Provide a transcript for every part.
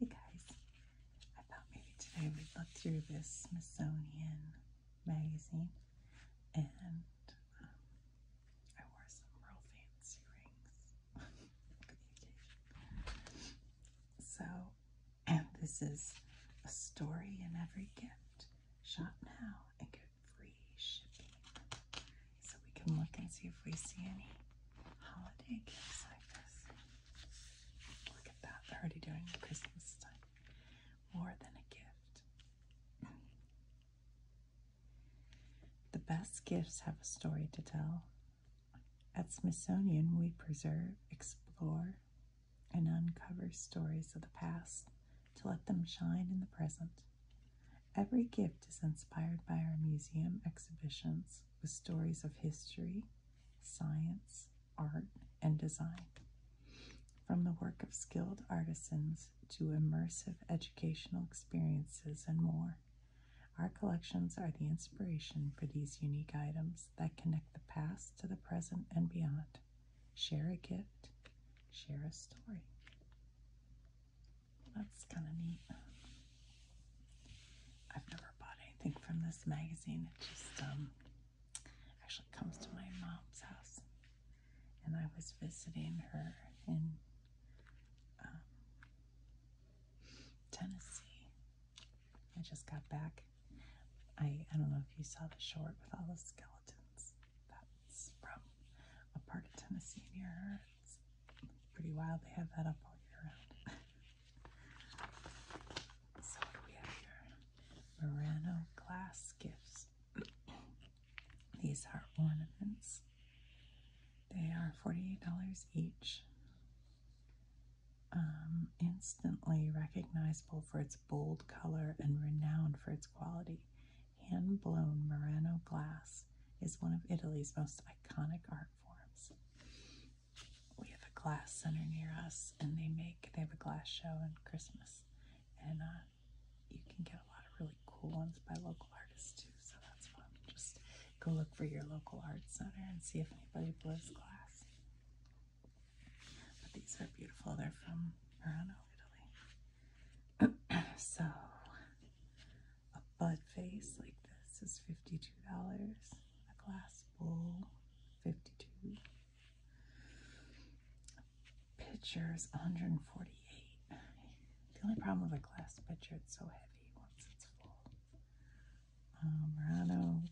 Hey guys, I thought maybe today we'd look through this Smithsonian magazine and um, I wore some real fancy rings So, and this is a story in every gift. Shop now and get free shipping so we can look and see if we see any holiday gifts like this. Look at that, they're already doing Christmas time. More than a gift. The best gifts have a story to tell. At Smithsonian, we preserve, explore, and uncover stories of the past to let them shine in the present. Every gift is inspired by our museum exhibitions with stories of history, science, art, and design. From the work of skilled artisans to immersive educational experiences and more, our collections are the inspiration for these unique items that connect the past to the present and beyond. Share a gift, share a story. That's kind of neat. I've never bought anything from this magazine. It just um, actually comes to my mom's house. And I was visiting her in um, Tennessee. I just got back. I, I don't know if you saw the short with all the skeletons. That's from a part of Tennessee near her. It's Pretty wild they have that up all year round. so what do we have here? Murano glass gifts. These are ornaments. They are $48 each. Um, instantly recognizable for its bold color and renowned for its quality. Hand blown Murano glass is one of Italy's most iconic art forms. We have a glass center near us, and they make they have a glass show in Christmas, and uh, you can get a lot of really cool ones by local artists too. So that's fun. Just go look for your local art center and see if anybody blows glass. But these are beautiful. They're from Verano, Italy. so a bud vase like this is $52. A glass bowl, 52 A pitcher is 148 The only problem with a glass pitcher, it's so heavy once it's full. Um, Murano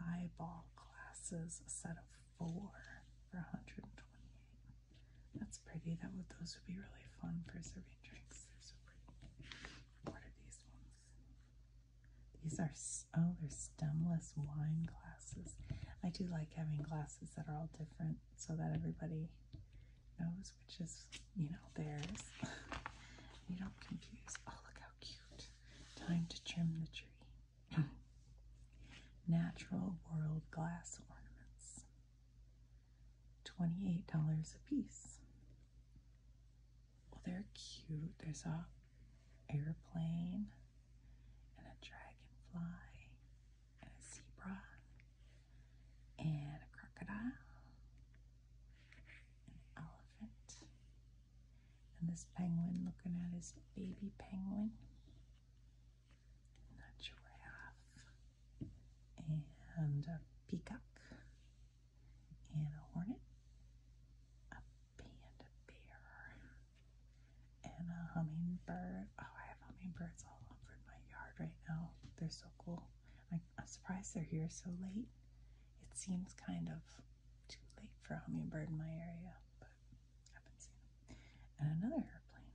highball glasses, a set of four for 128 that's pretty. That would those would be really fun for serving drinks. What are these ones? These are oh, they're stemless wine glasses. I do like having glasses that are all different so that everybody knows which is, you know, theirs. you don't confuse. Oh, look how cute. Time to trim the tree. Natural world glass ornaments. $28 a piece. Well, they're cute. There's a airplane and a dragonfly and a zebra and a crocodile and elephant and this penguin looking at his baby penguin and a giraffe and a peacock and a hornet, a panda bear, and a hummingbird. Oh, I have hummingbirds all over my yard right now. They're so cool. I'm surprised they're here so late. It seems kind of too late for a hummingbird in my area, but I've been seeing them. And another airplane.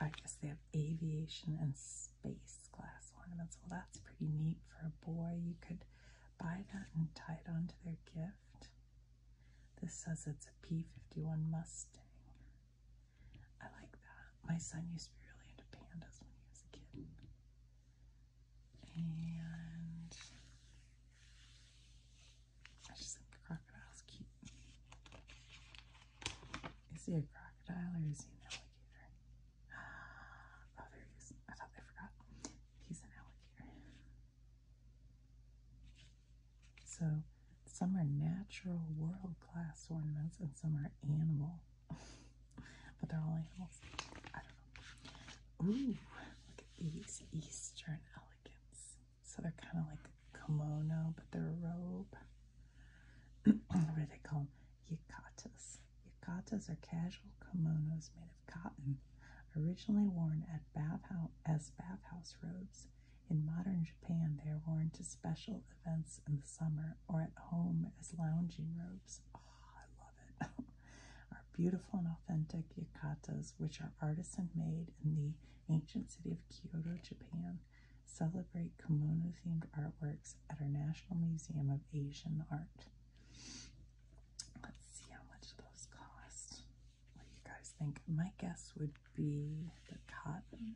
I guess they have aviation and space glass ornaments. Well, that's pretty neat for a boy. You could buy that and tie it onto their gift. This says it's a P51 Mustang. I like that. My son used to be really into pandas when he was a kid. And I just think the crocodile's cute. Is he a crocodile or is he an alligator? Oh, there he is. I thought I forgot. He's an alligator. So, some are natural world class ornaments and some are animal. but they're all animals. I don't know. Ooh, look at these Eastern elegance. So they're kind of like kimono, but they're a robe. what do they call Yukatas. Yukatas are casual kimonos made of cotton, originally worn at bathhouse, as bathhouse robes. In modern Japan, they are worn to special events in the summer or at home as lounging robes. Ah, I love it. Our beautiful and authentic yukatas, which are artisan made in the ancient city of Kyoto, Japan celebrate kimono themed artworks at our National Museum of Asian Art. Let's see how much those cost. What do you guys think? My guess would be the cotton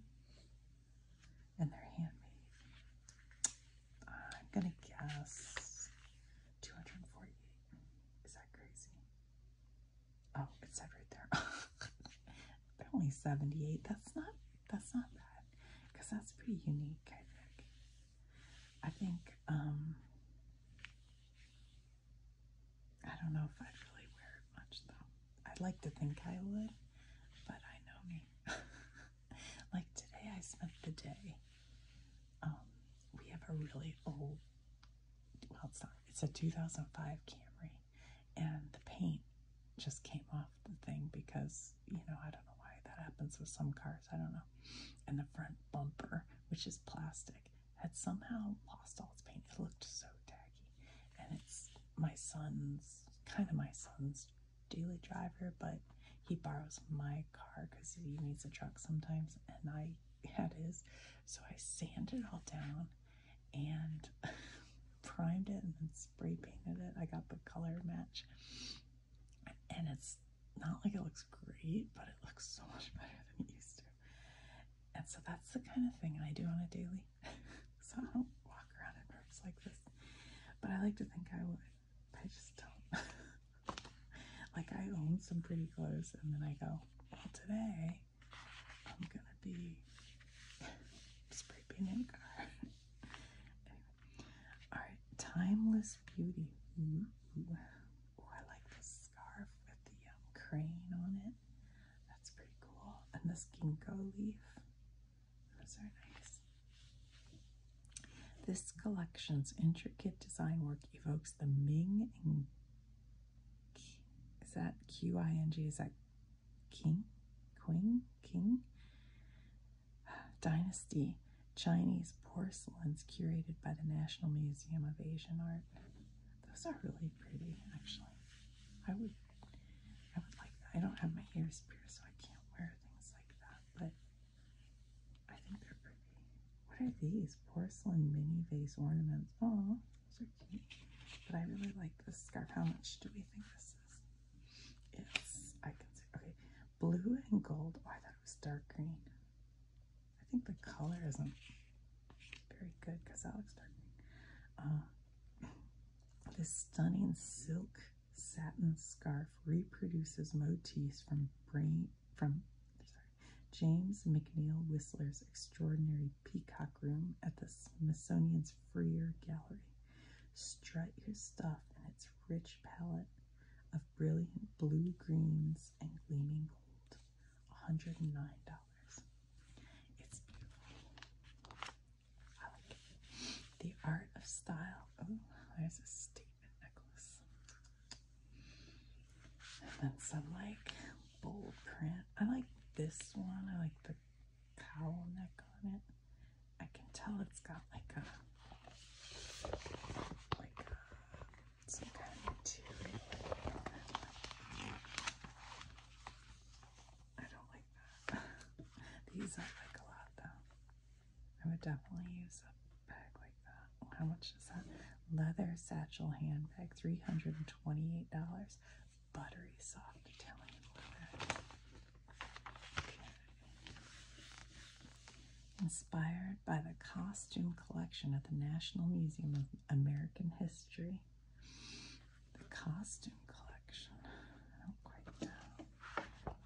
and they're handmade. I'm gonna guess 248. Is that crazy? Oh, it said right there. They're only 78. That's not that's not bad. Because that's pretty unique, I think. I think, um I don't know if I'd really wear it much though. I'd like to think I would, but I know me. like today I spent the day. Um, we have a really old well it's not it's a 2005 Camry and the paint just came off the thing because you know I don't know why that happens with some cars I don't know and the front bumper which is plastic had somehow lost all its paint it looked so tacky and it's my son's kind of my son's daily driver but he borrows my car because he needs a truck sometimes and I had his so I sanded it all down and primed it and then spray painted it. I got the color match, and it's not like it looks great, but it looks so much better than it used to. And so that's the kind of thing I do on a daily. so I don't walk around in rooms like this, but I like to think I would. I just don't. like I own some pretty clothes, and then I go, well, today I'm gonna be spray painting Alright, timeless beauty. Ooh, I like this scarf with the um, crane on it. That's pretty cool. And this ginkgo leaf. Those are nice. This collection's intricate design work evokes the Ming and Is that Q I N G? Is that king, queen, king, dynasty, Chinese porcelains curated by the National Museum of Asian Art. Those are really pretty, actually. I would, I would like. That. I don't have my ears pierced, so I can't wear things like that. But I think they're pretty. What are these porcelain mini vase ornaments? Oh, those are. But I really like this scarf. How much do we think this is? It's, I can see, okay, blue and gold. Oh, I thought it was dark green. I think the color isn't very good because that looks dark uh, this stunning silk satin scarf reproduces motifs from from James McNeill Whistler's extraordinary peacock room at the Smithsonian's Freer Gallery. Strut your stuff in its rich palette of brilliant blue greens and gleaming gold. $109. It's beautiful. I like The art of style. Oh, there's a statement necklace. And then some like bold print. I like this one. I like the cowl neck on it. I can tell it's got like a like a, some kind of material. I don't like that. These I like a lot though. I would definitely use a bag like that. How much is that? Leather satchel handbag, $328 buttery soft Italian leather. Inspired by the costume collection at the National Museum of American History. The costume collection.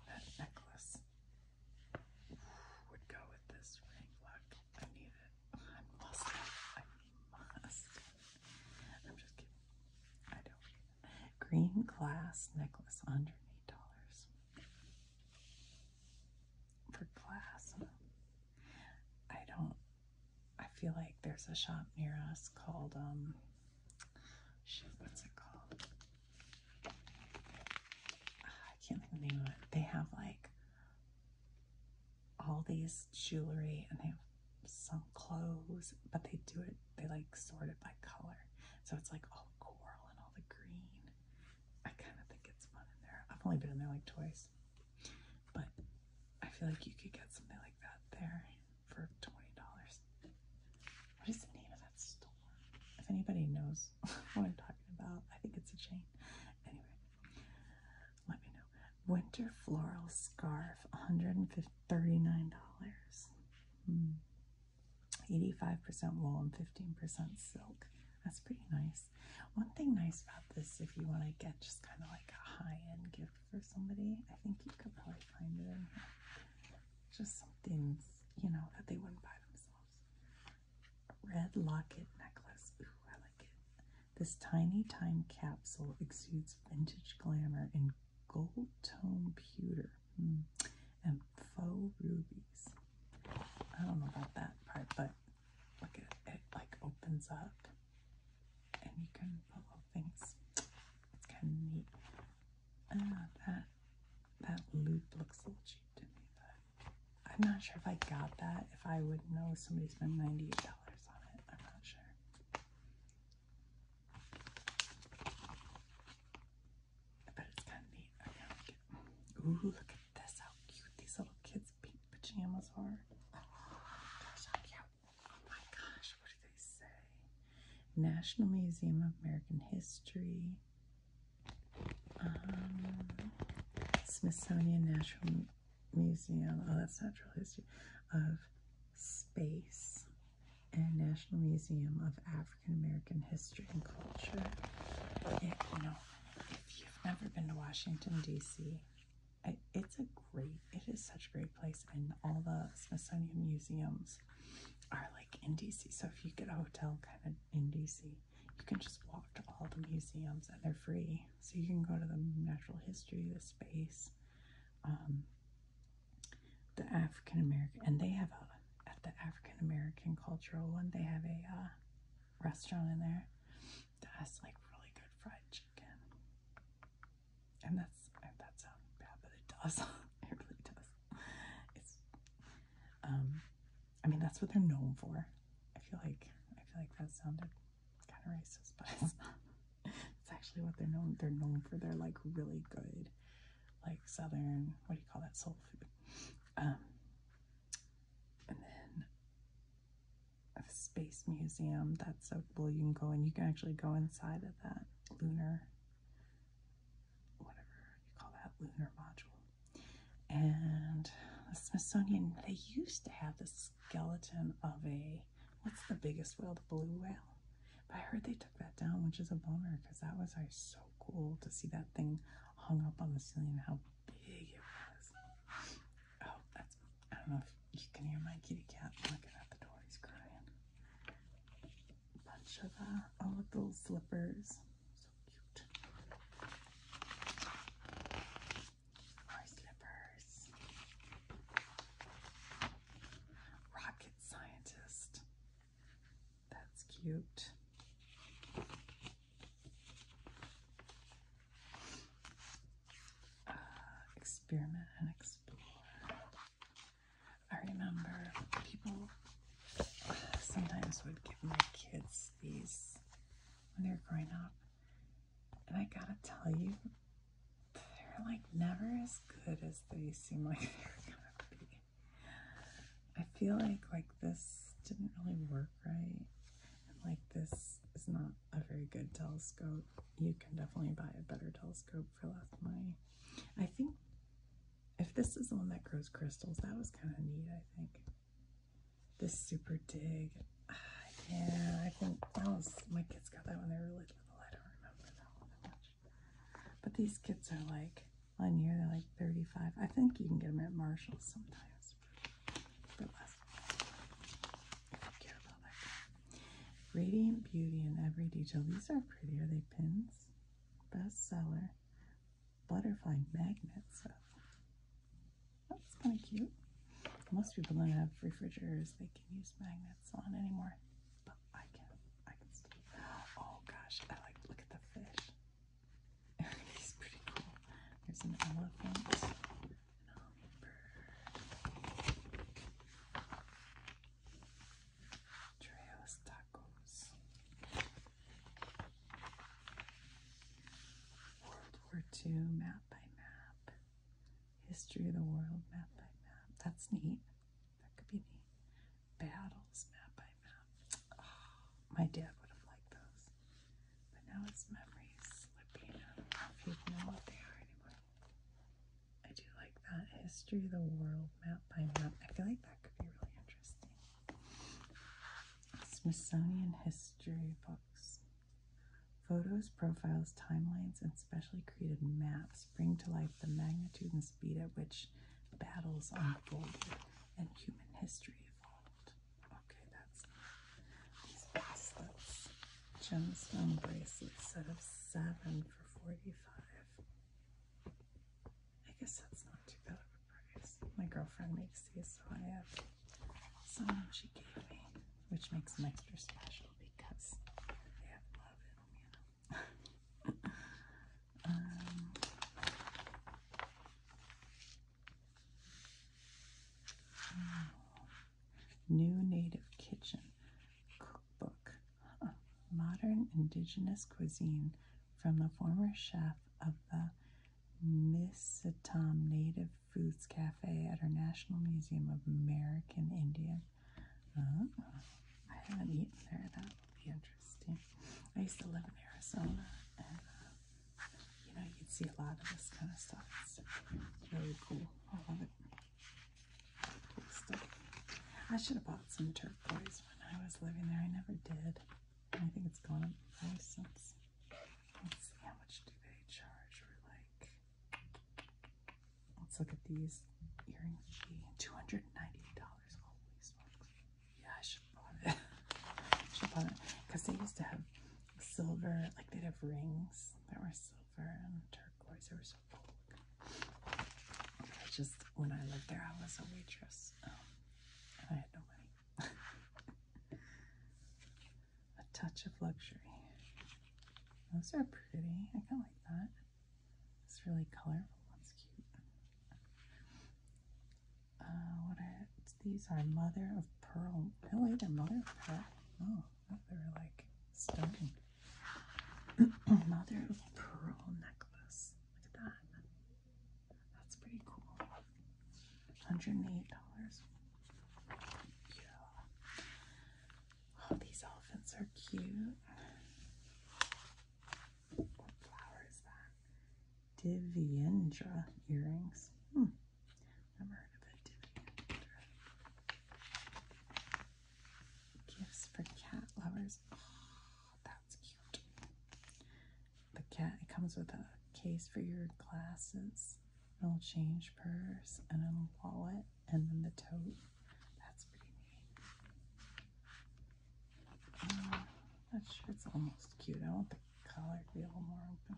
That necklace would go with this ring. Look, I need it mask. I'm just kidding. I don't. Green glass necklace under eight dollars for glass. I don't. I feel like there's a shop near us called um. Shit, what's it called? Ah, I can't think the name of it. They have like all these jewelry and they have some clothes, but they do it, they like sort it by color. So it's like all the coral and all the green. I kind of think it's fun in there. I've only been in there like twice, but I feel like you could get something like that there for $20. What is the name of that store? If anybody knows what I'm talking about, I think it's a chain. Anyway, let me know. Winter floral scarf, $139. 85% hmm. wool and 15% silk. That's pretty nice. One thing nice about this, if you want to get just kind of like a high end gift for somebody, I think you could probably find it in here. Just something, you know, that they wouldn't buy themselves. Red locket necklace. Ooh, I like it. This tiny time capsule exudes vintage glamour in gold tone pewter hmm, and faux rubies. I don't know about that part, but look at it, like opens up and you can put things. kind of neat. Ah, that that loop looks a little cheap to me, but I'm not sure if I got that. If I would know somebody spent $98 on it, I'm not sure ooh, look at this! How cute these little kids' pink pajamas are. Oh, cute! Oh my gosh, what do they say? National Museum of American History. Um, Smithsonian National Museum, oh, that's Natural History, of Space and National Museum of African American History and Culture. you know, if you've never been to Washington, D.C., it's a great, it is such a great place, and all the Smithsonian museums are like in DC. So if you get a hotel kind of in DC, you can just walk to all the museums and they're free. So you can go to the natural history, the space, um, the African American, and they have a, at the African American cultural one, they have a uh, restaurant in there that has like really good fried chicken. And that's, that sounds bad, but it does. it really does. It's, um, I mean, that's what they're known for. I feel like, I feel like that sounded kind of racist, but it's actually what they're known. They're known for their like really good, like southern. What do you call that? Soul food. Um, and then a space museum. That's a well, you can go and you can actually go inside of that lunar, whatever you call that lunar module. And the Smithsonian. They used to have this skeleton of a what's the biggest whale? The blue whale. I heard they took that down, which is a bummer because that was like, so cool to see that thing hung up on the ceiling. How big it was! Oh, that's I don't know if you can hear my kitty cat looking at the door. He's crying. A bunch of uh, all of those slippers. So cute our slippers. Rocket scientist. That's cute. Uh, experiment and explore. I remember people sometimes would give my kids these when they were growing up, and I gotta tell you, they're like never as good as they seem like they're gonna be. I feel like like this didn't really work right. like this is not a very good telescope. You can definitely buy a better telescope for less money. I think if this is the one that grows crystals, that was kind of neat, I think. This super dig. Ah, yeah, I think that was my kids got that when they were really little. I don't remember that one much. But these kids are like on here, they're like 35. I think you can get them at Marshall's sometimes for less. care about that. Radiant Beauty in Every Detail. These are prettier. Are they pins? Bestseller. Butterfly magnets. That's kind of cute. Most people don't have refrigerators they can use magnets on anymore, but I can. I can still. Oh gosh, I like look at the fish. He's pretty cool. There's an elephant. An hummingbird. Trails tacos. World War II map by map. History of the world, map by map. That's neat. That could be neat. Battles, map by map. Oh, my dad would have liked those. But now his memories slipping. I don't know if you know what they are anymore. I do like that. History of the world, map by map. I feel like that could be really interesting. Smithsonian history books. Photos, profiles, timelines, and specially created maps bring to life the magnitude and speed at which battles unfolded and human history evolved. Okay, that's these bracelets. Gemstone bracelet set of seven for 45 I guess that's not too bad of a price. My girlfriend makes these, so I have which makes them extra special because they love in um, new Native Kitchen Cookbook Modern Indigenous Cuisine from the former chef of the Misatam Native Foods Cafe at our National Museum of American Indian. Uh, I haven't eaten there. That would be interesting. I used to live in Arizona, and uh, you know, you'd see a lot of this kind of stuff. It's really cool. I love it. I should have bought some turquoise when I was living there. I never did. I think it's gone up in price since. Let's see how much do they charge for like let's look at these earrings. Two hundred ninety dollars Holy smokes. Yeah, I should bought it. should bought it. Because they used to have silver, like they'd have rings that were silver and turquoise. They were so cool. I just when I lived there I was a waitress. Um, and I had no money. a touch of luxury. Those are pretty. I kind of like that. It's really colorful. That's cute. Uh, what are these? Are mother of pearl? Really, they're mother of pearl. Oh, they're like stunning. mother of pearl necklace. Look at that. That's pretty cool. $108. Oh, these elephants are cute. What flower is that? Diviendra earrings. Hmm. Never heard of it. Gifts for cat lovers. Oh, that's cute. The cat. It comes with a case for your glasses little change purse and a wallet and then the tote. That's pretty neat. Uh, that shirt's almost cute. I want the collar to be a little more open.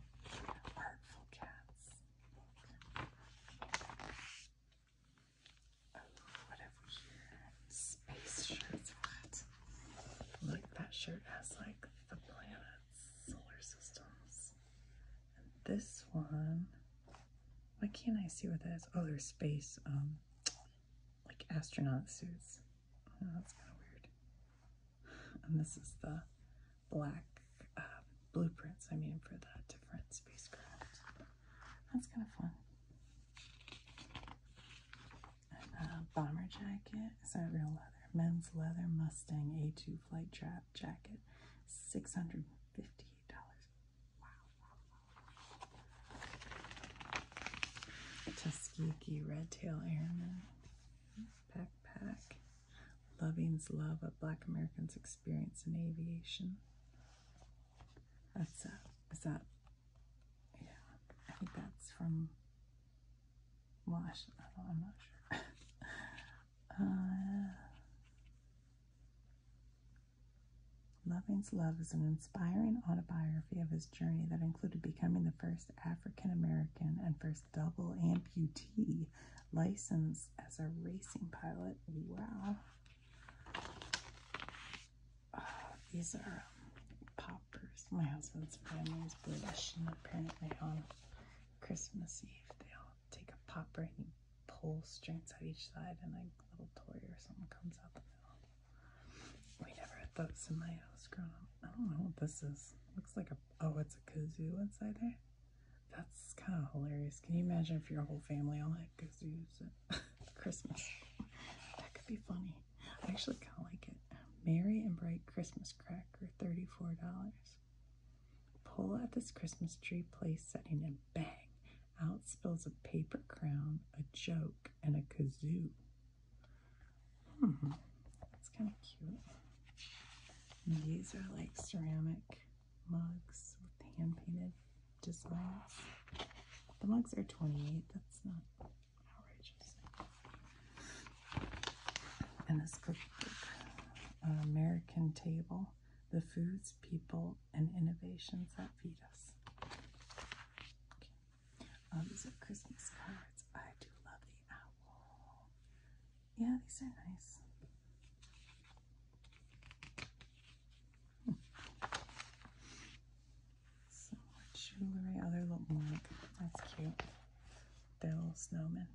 Artful cats. Oh, what have we here? Space shirts. Look, that shirt has like the planet solar systems. And this one, why can't I see what that is? Oh, there's space, um, like astronaut suits. Oh, that's kind of weird. And this is the black uh, blueprints, I mean, for that different spacecraft. That's kind of fun. Uh, bomber jacket. Is that real leather? Men's leather Mustang A2 flight jacket jacket, six hundred fifty eight dollars. Wow! Tuskegee Red Tail Airman backpack. Loving's Love: of Black American's Experience in Aviation. That's a. Uh, is that? Yeah, I think that's from Uh, Loving's Love is an inspiring autobiography of his journey that included becoming the first African American and first double amputee licensed as a racing pilot. Wow. Uh, these are um, poppers. My husband's family is British and apparently on um, Christmas Eve, they all take a popper and pull strings out each side, and like a little toy or something comes out the middle. We never had those in my house growing up. I don't know what this is. Looks like a oh, it's a kazoo inside there. That's kind of hilarious. Can you imagine if your whole family all had kazoos at Christmas? That could be funny. I actually kind of like it. Merry and Bright Christmas Cracker, $34. Pull at this Christmas tree place setting and bang, out spills a paper crown, a joke, and a kazoo. Hmm, kind of cute. these are like ceramic mugs with hand painted designs. The mugs are 28, that's not outrageous in this cookbook, American Table, the Foods, People, and Innovations That Feed Us. Um, these are Christmas cards. I do love the owl. Yeah, these are nice. Some oh, more jewelry, other little mug. That's cute. They're little snowmen.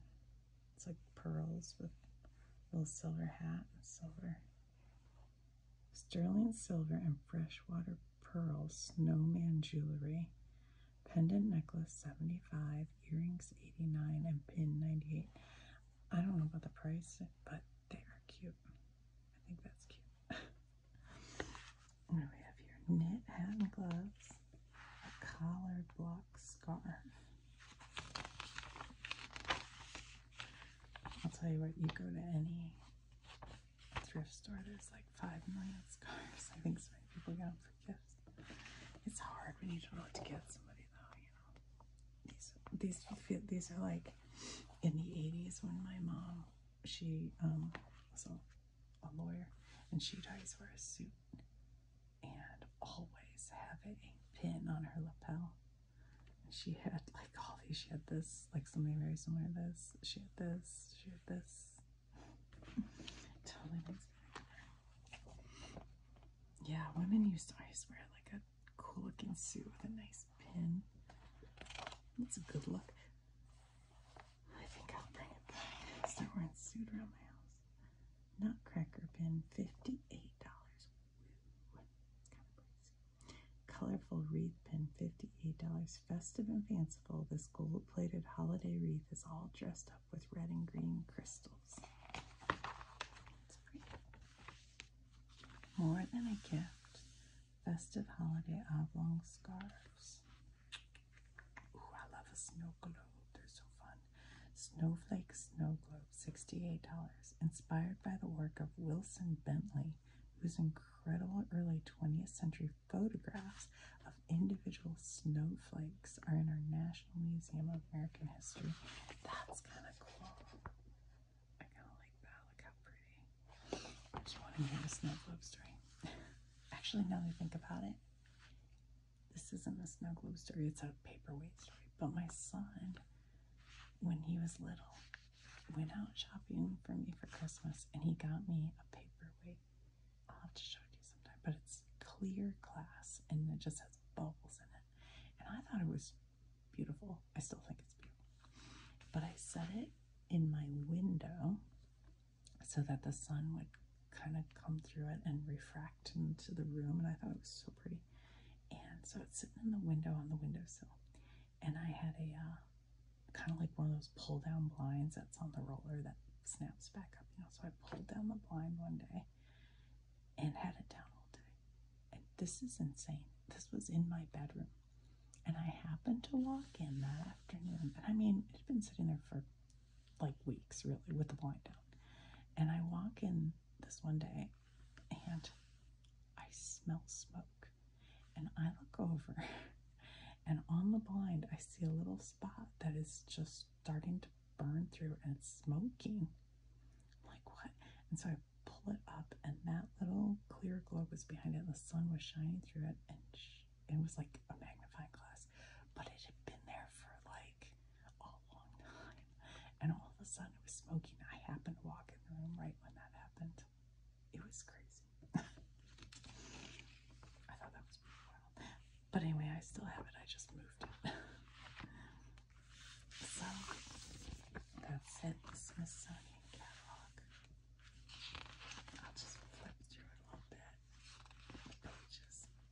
It's like pearls with a little silver hat and silver. Sterling silver and freshwater pearls, snowman jewelry, pendant necklace 75, earrings 89, and pin 98. I don't know about the price, but they are cute. I think that's cute. and we have your knit hat and gloves a collar block scarf. I'll tell you what, you go to any thrift store, there's like 5 million scarves. I think so many people got them for gifts. It's hard when you don't know what to give somebody though, you know. These, these, these are like in the 80s when my mom, she um, was a, lawyer and she'd always wear a suit and always having a pin on her lapel. she had like all these, she had this, like something very similar to this, she had this, she had this. totally makes me Yeah, women used to always wear like a cool looking suit with a nice pin. That's a good look. I think I'll bring it back. It's the one suit around my house. Nutcracker pin, $58. Colorful wreath pin, $58. Festive and fanciful, this gold-plated holiday wreath is all dressed up with red and green crystals. More than a gift. Festive holiday oblong scarves. Ooh, I love a snow globe. They're so fun. Snowflake Snow Globe, $68. Inspired by the work of Wilson Bentley, whose incredible early 20th century photographs of individual snowflakes are in our National Museum of American History. That's kind of cool. I kind of like that. Look how pretty. I just want to hear the snow globe story. Actually, now that I think about it, this isn't a snow globe story, it's a paperweight story. But my son, when he was little, went out shopping for me for Christmas and he got me a paperweight. I'll have to show it to you sometime, but it's clear glass and it just has bubbles in it. And I thought it was beautiful. I still think it's beautiful. But I set it in my window so that the sun would kind of come through it and refract into the room. And I thought it was so pretty. And so it's sitting in the window on the windowsill. And I had a uh, kind of like one of those pull down blinds that's on the roller that snaps back up, you know. So I pulled down the blind one day and had it down all day. And this is insane. This was in my bedroom. And I happened to walk in that afternoon. And I mean, it had been sitting there for like weeks really with the blind down. And I walk in this one day and I smell smoke. And I look over and on the blind I see a little spot that is just starting to burn through and smoking. like what? And so I pull it up and that little clear globe was behind it and the sun was shining through it and it was like a magnifying glass, but it had been there for like a long time. And all of a sudden it was smoking. I happened to walk in the room right when that happened. It was crazy. I thought that was wild. But anyway, I still have it. I just moved it. so that's it. Smithsonian catalog. I'll just flip through a little bit. The pages.